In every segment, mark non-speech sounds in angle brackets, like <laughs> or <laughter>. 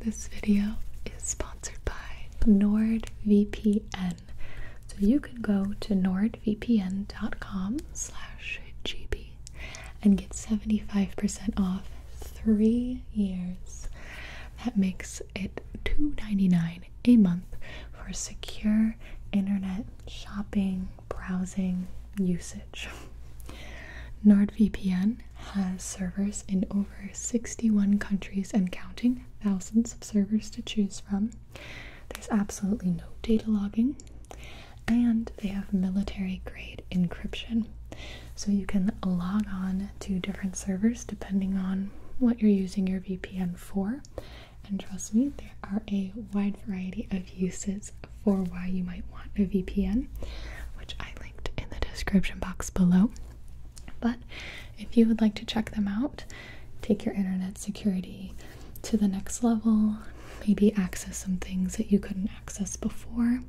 This video is sponsored by NordVPN. So you can go to nordvpn.com slash gp and get 75% off three years. That makes it $2.99 a month for secure internet shopping, browsing, usage. NordVPN has servers in over 61 countries and counting, thousands of servers to choose from. There's absolutely no data logging, and they have military grade encryption. So you can log on to different servers depending on what you're using your VPN for. And trust me, there are a wide variety of uses for why you might want a VPN, which I linked in the description box below. But if you would like to check them out, take your internet security to the next level, maybe access some things that you couldn't access before,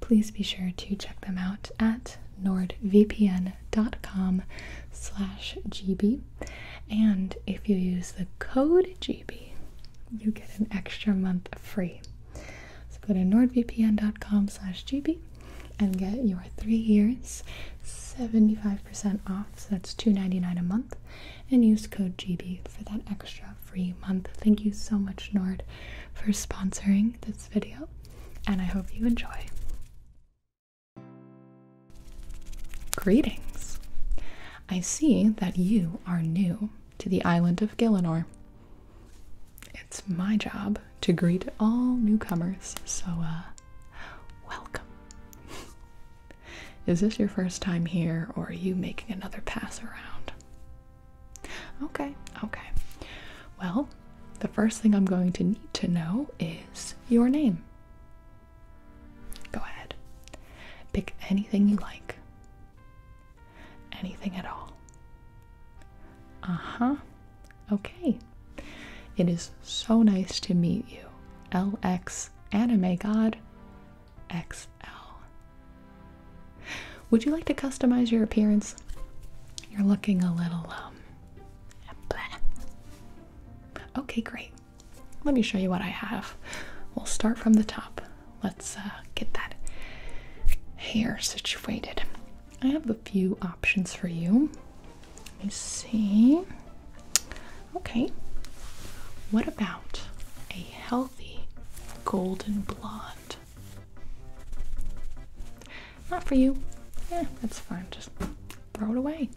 please be sure to check them out at nordvpn.com slash gb and if you use the code gb you get an extra month free. So go to nordvpn.com slash gb and get your three years 75% off, so that's two ninety nine a month, and use code GB for that extra free month. Thank you so much, Nord, for sponsoring this video, and I hope you enjoy. Greetings! I see that you are new to the island of Gillinor. It's my job to greet all newcomers, so uh, welcome. <laughs> Is this your first time here, or are you making another pass around? Okay, okay. Well, the first thing I'm going to need to know is your name. Go ahead. Pick anything you like. Anything at all. Uh huh. Okay. It is so nice to meet you. LX Anime God XL. Would you like to customize your appearance? You're looking a little, um, Okay, great let me show you what I have. We'll start from the top. Let's uh, get that hair situated. I have a few options for you. Let me see. Okay, what about a healthy golden blonde? Not for you. Yeah, that's fine. Just throw it away.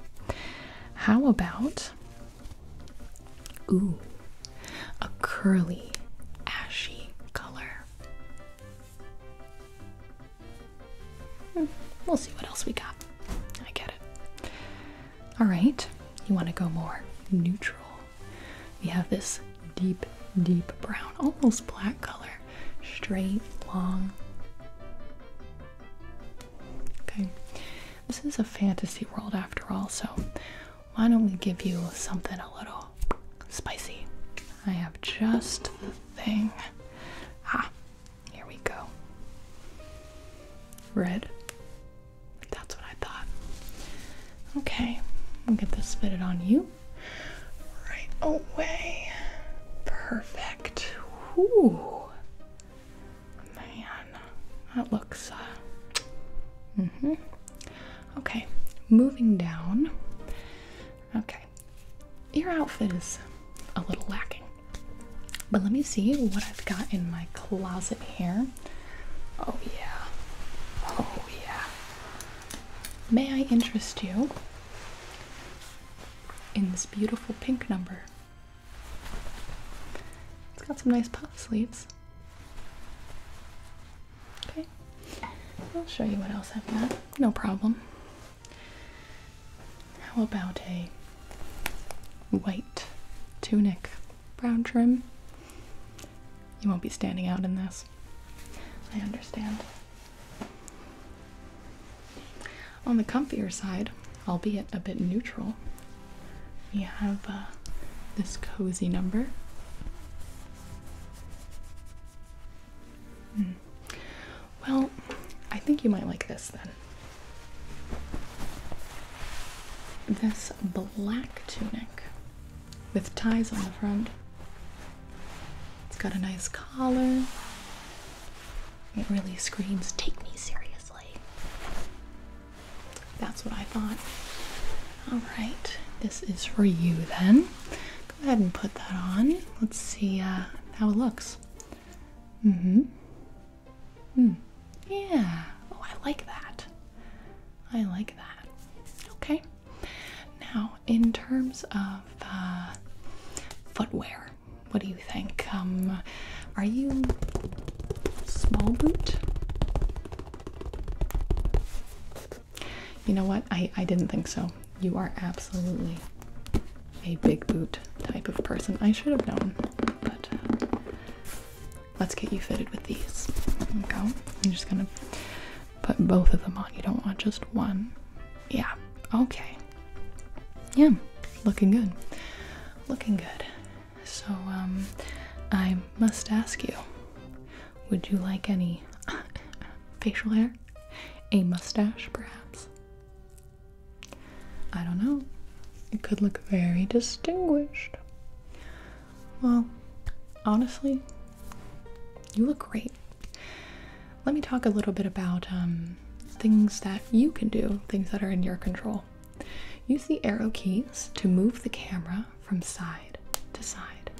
How about Ooh, a curly, ashy color. Hmm, we'll see what else we got. I get it. Alright, you want to go more neutral. We have this deep, deep brown, almost black color. Straight, long. Okay. This is a fantasy world after all, so why don't we give you something a little spicy? I have just the thing. Ah, here we go. Red. That's what I thought. Okay, we'll get this fitted on you right away. Perfect. Ooh. Man, that looks. Uh, mm hmm. Okay, moving down. Okay, your outfit is a little lacking, but let me see what I've got in my closet here. Oh, yeah. Oh, yeah. May I interest you in this beautiful pink number? It's got some nice puff sleeves. Okay, I'll show you what else I've got. No problem. How about a white tunic, brown trim? You won't be standing out in this. I understand. On the comfier side, albeit a bit neutral, we have uh, this cozy number. Hmm. Well, I think you might like this then. This black tunic with ties on the front. It's got a nice collar. It really screams, take me seriously. That's what I thought. Alright, this is for you then. Go ahead and put that on. Let's see uh, how it looks. Mm-hmm. Hmm. Yeah. Oh, I like that. I like that. Okay. Now, in terms of uh, footwear, what do you think? Um, are you small boot? You know what? I, I didn't think so. You are absolutely a big boot type of person. I should have known, but let's get you fitted with these. go. I'm just gonna put both of them on. You don't want just one. Yeah. Okay yeah, looking good. Looking good. So, um, I must ask you would you like any <laughs> facial hair? A mustache, perhaps? I don't know. It could look very distinguished. Well, honestly, you look great let me talk a little bit about um, things that you can do, things that are in your control. Use the arrow keys to move the camera from side to side.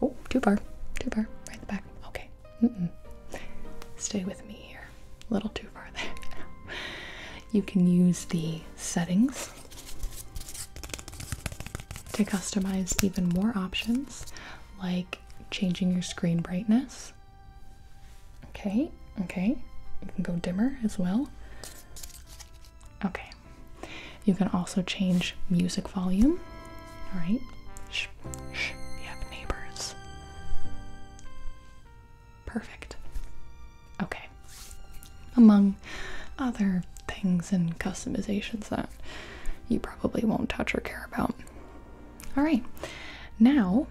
Oh, too far, too far, right in the back. Okay, stay with me here. A little too far there. <laughs> you can use the settings to customize even more options like changing your screen brightness. Okay, okay. You can go dimmer as well. Okay. You can also change music volume. All right. Shh, shh. We have neighbors. Perfect. Okay. Among other things and customizations though you probably won't touch or care about. All right, now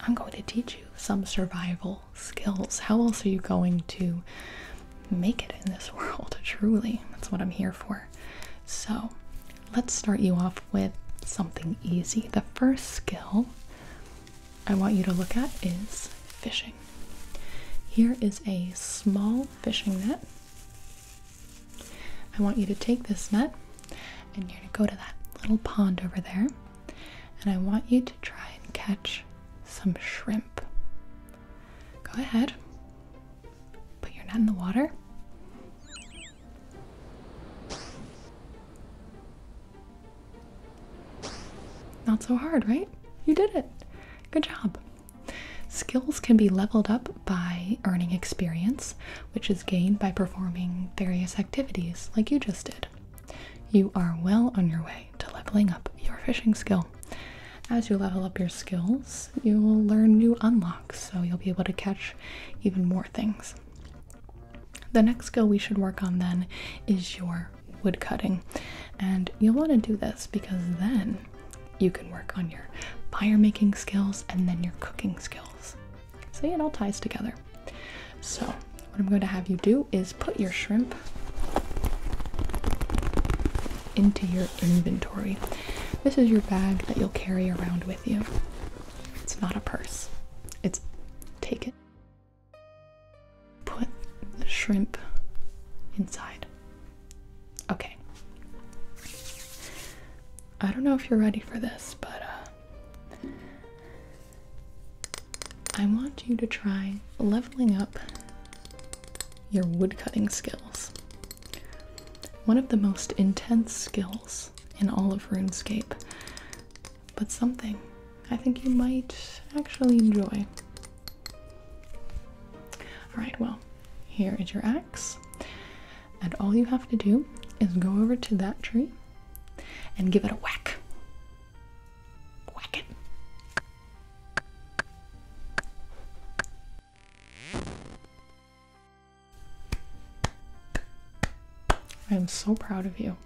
I'm going to teach you some survival skills. How else are you going to make it in this <laughs> world? Truly, that's what I'm here for. So, let's start you off with something easy. The first skill I want you to look at is fishing. Here is a small fishing net. I want you to take this net and you're going to go to that little pond over there, and I want you to try and catch some shrimp. Go ahead, put your net in the water. Not so hard, right? You did it. Good job. Skills can be leveled up by earning experience, which is gained by performing various activities like you just did. You are well on your way to leveling up your fishing skill. As you level up your skills, you will learn new unlocks, so you'll be able to catch even more things. The next skill we should work on then is your woodcutting, And you'll want to do this because then you can work on your fire making skills and then your cooking skills. See, it all ties together. So, what I'm going to have you do is put your shrimp into your inventory. This is your bag that you'll carry around with you. It's not a purse. It's take it. Put the shrimp inside. Okay. I don't know if you're ready for this, but uh, I want you to try leveling up your woodcutting skills. One of the most intense skills in all of RuneScape, but something I think you might actually enjoy. Alright, well, here is your axe. And all you have to do is go over to that tree and give it a whack. Whack it. I am so proud of you.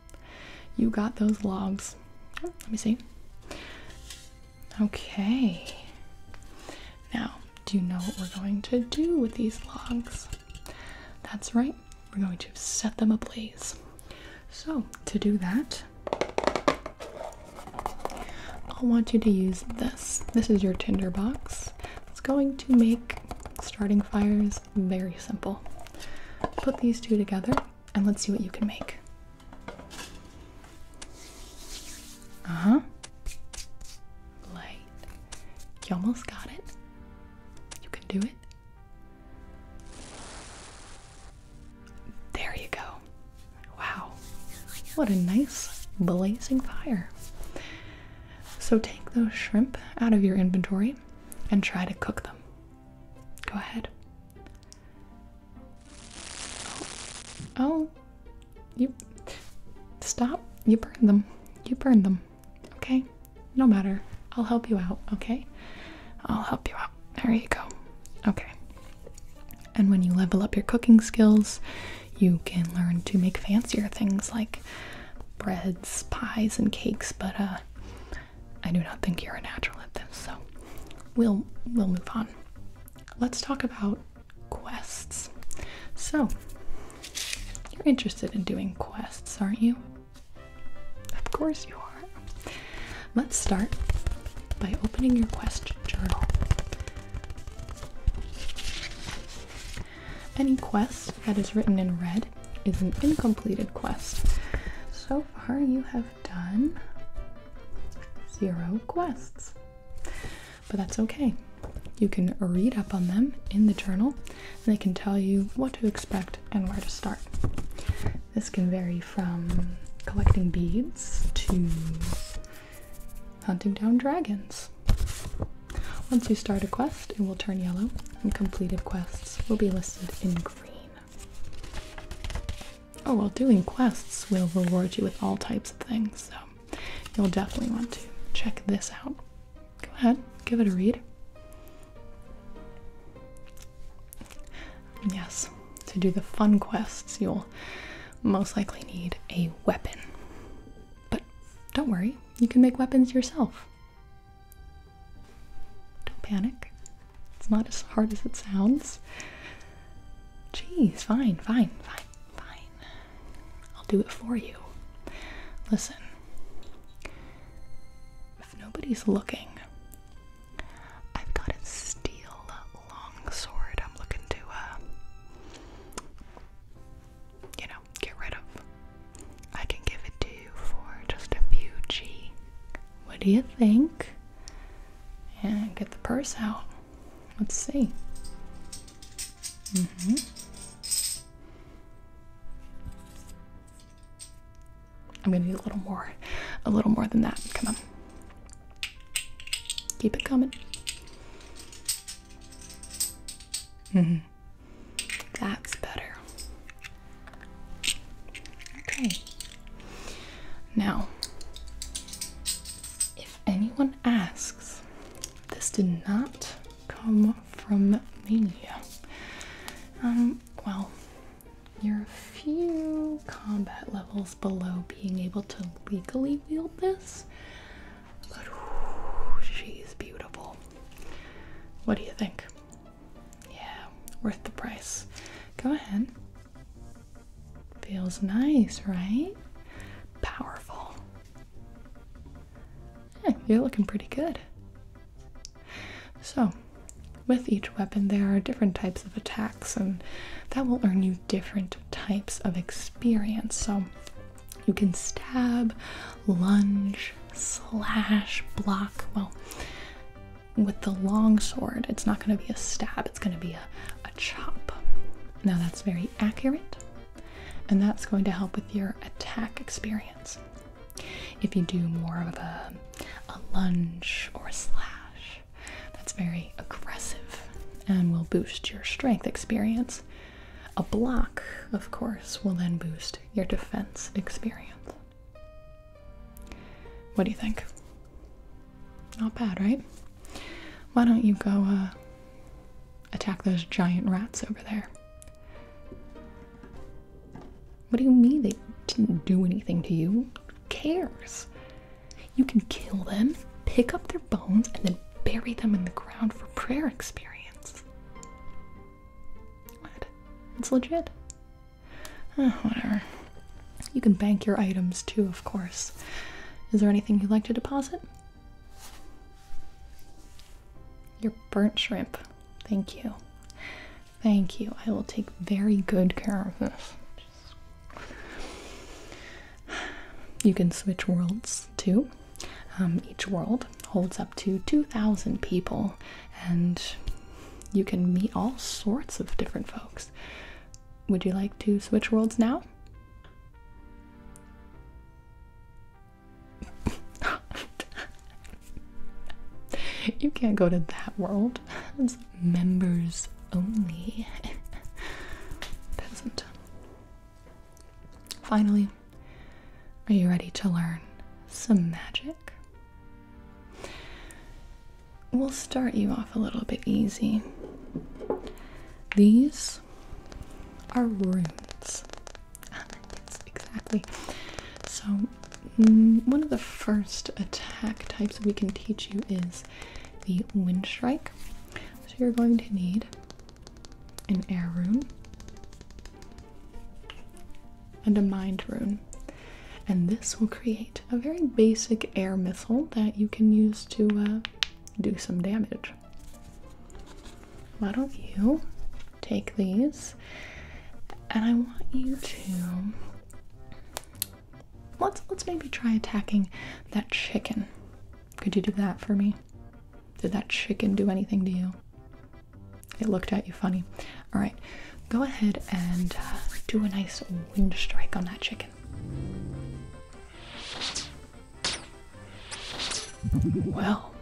You got those logs. let me see. Okay. Now, do you know what we're going to do with these logs? That's right, we're going to set them ablaze. So, to do that, I'll want you to use this. This is your tinder box. It's going to make starting fires very simple. Put these two together and let's see what you can make. Uh huh. Light. You almost got it. You can do it. There you go. Wow. What a nice blazing fire. So take those shrimp out of your inventory and try to cook them. Go ahead. Oh. You stop. You burned them. You burned them. Okay? No matter. I'll help you out, okay? I'll help you out. There you go. Okay. And when you level up your cooking skills, you can learn to make fancier things like breads, pies, and cakes, but uh I do not think you're a natural at this, so we'll we'll move on. Let's talk about quests. So, you're interested in doing quests, aren't you? Of course you are. Let's start by opening your quest journal. Any quest that is written in red is an incompleted quest. So far, you have done zero quests. But that's okay. You can read up on them in the journal and they can tell you what to expect and where to start. This can vary from collecting beads to hunting down dragons. Once you start a quest, it will turn yellow, and completed quests will be listed in green. Oh well, doing quests will reward you with all types of things, so you'll definitely want to check this out. Go ahead, give it a read. Yes, to do the fun quests, you'll most likely need a weapon. But don't worry, you can make weapons yourself. Don't panic. It's not as hard as it sounds. Jeez, fine, fine, fine, fine. I'll do it for you. Listen. If nobody's looking, I've got a steel long sword I'm looking to, uh, you know, get rid of. I can give it to you for just a few G. What do you think? And get the purse out. Let's see. Mm-hmm. I'm gonna need a little more, a little more than that. Come on. Keep it coming. Mm-hmm. That's better. Okay. Now, if anyone asks, this did not come from me. Um, well, you're a few combat levels below being able to legally wield this, but she's beautiful. What do you think? Yeah, worth the price. Go ahead. Feels nice, right? Powerful. you're looking pretty good. So, with each weapon, there are different types of attacks, and that will earn you different types of experience. So, you can stab, lunge, slash block. Well, with the long sword, it's not going to be a stab, it's going to be a, chop. Now, that's very accurate, and that's going to help with your attack experience. If you do more of a, a lunge or a slash, that's very aggressive and will boost your strength experience. A block, of course, will then boost your defense experience. What do you think? Not bad, right? Why don't you go uh, attack those giant rats over there? What do you mean they didn't do anything to you? cares? You can kill them, pick up their bones, and then bury them in the ground for prayer experience. What? It's legit. whatever. You can bank your items too, of course. Is there anything you'd like to deposit? Your burnt shrimp. Thank you. Thank you. I will take very good care of this. You can switch worlds too. Um, each world holds up to 2,000 people, and you can meet all sorts of different folks. Would you like to switch worlds now? <laughs> you can't go to that world. It's members only. Peasant. <laughs> Finally, are you ready to learn some magic? We'll start you off a little bit easy. These are runes. Ah, exactly. So, mm, one of the first attack types we can teach you is the wind strike. So, you're going to need an air rune, and a mind rune. And this will create a very basic air missile that you can use to uh, do some damage. Why don't you take these? And I want you to let's let's maybe try attacking that chicken. Could you do that for me? Did that chicken do anything to you? It looked at you funny. All right, go ahead and uh, do a nice wind strike on that chicken. Well,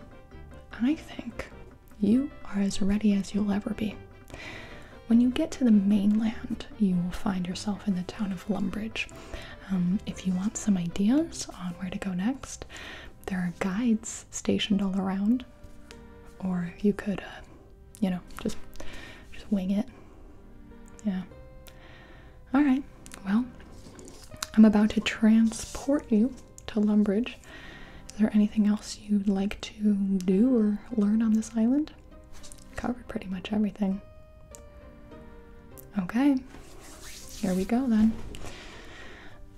I think you are as ready as you'll ever be. When you get to the mainland, you will find yourself in the town of Lumbridge. Um, if you want some ideas on where to go next, there are guides stationed all around, or you could, uh, you know, just just wing it. Yeah. All right. Well, I'm about to transport you to Lumbridge. Is there anything else you'd like to do or learn on this island? Covered pretty much everything. Okay, here we go then.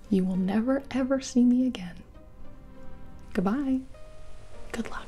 You will never ever see me again. Goodbye. Good luck.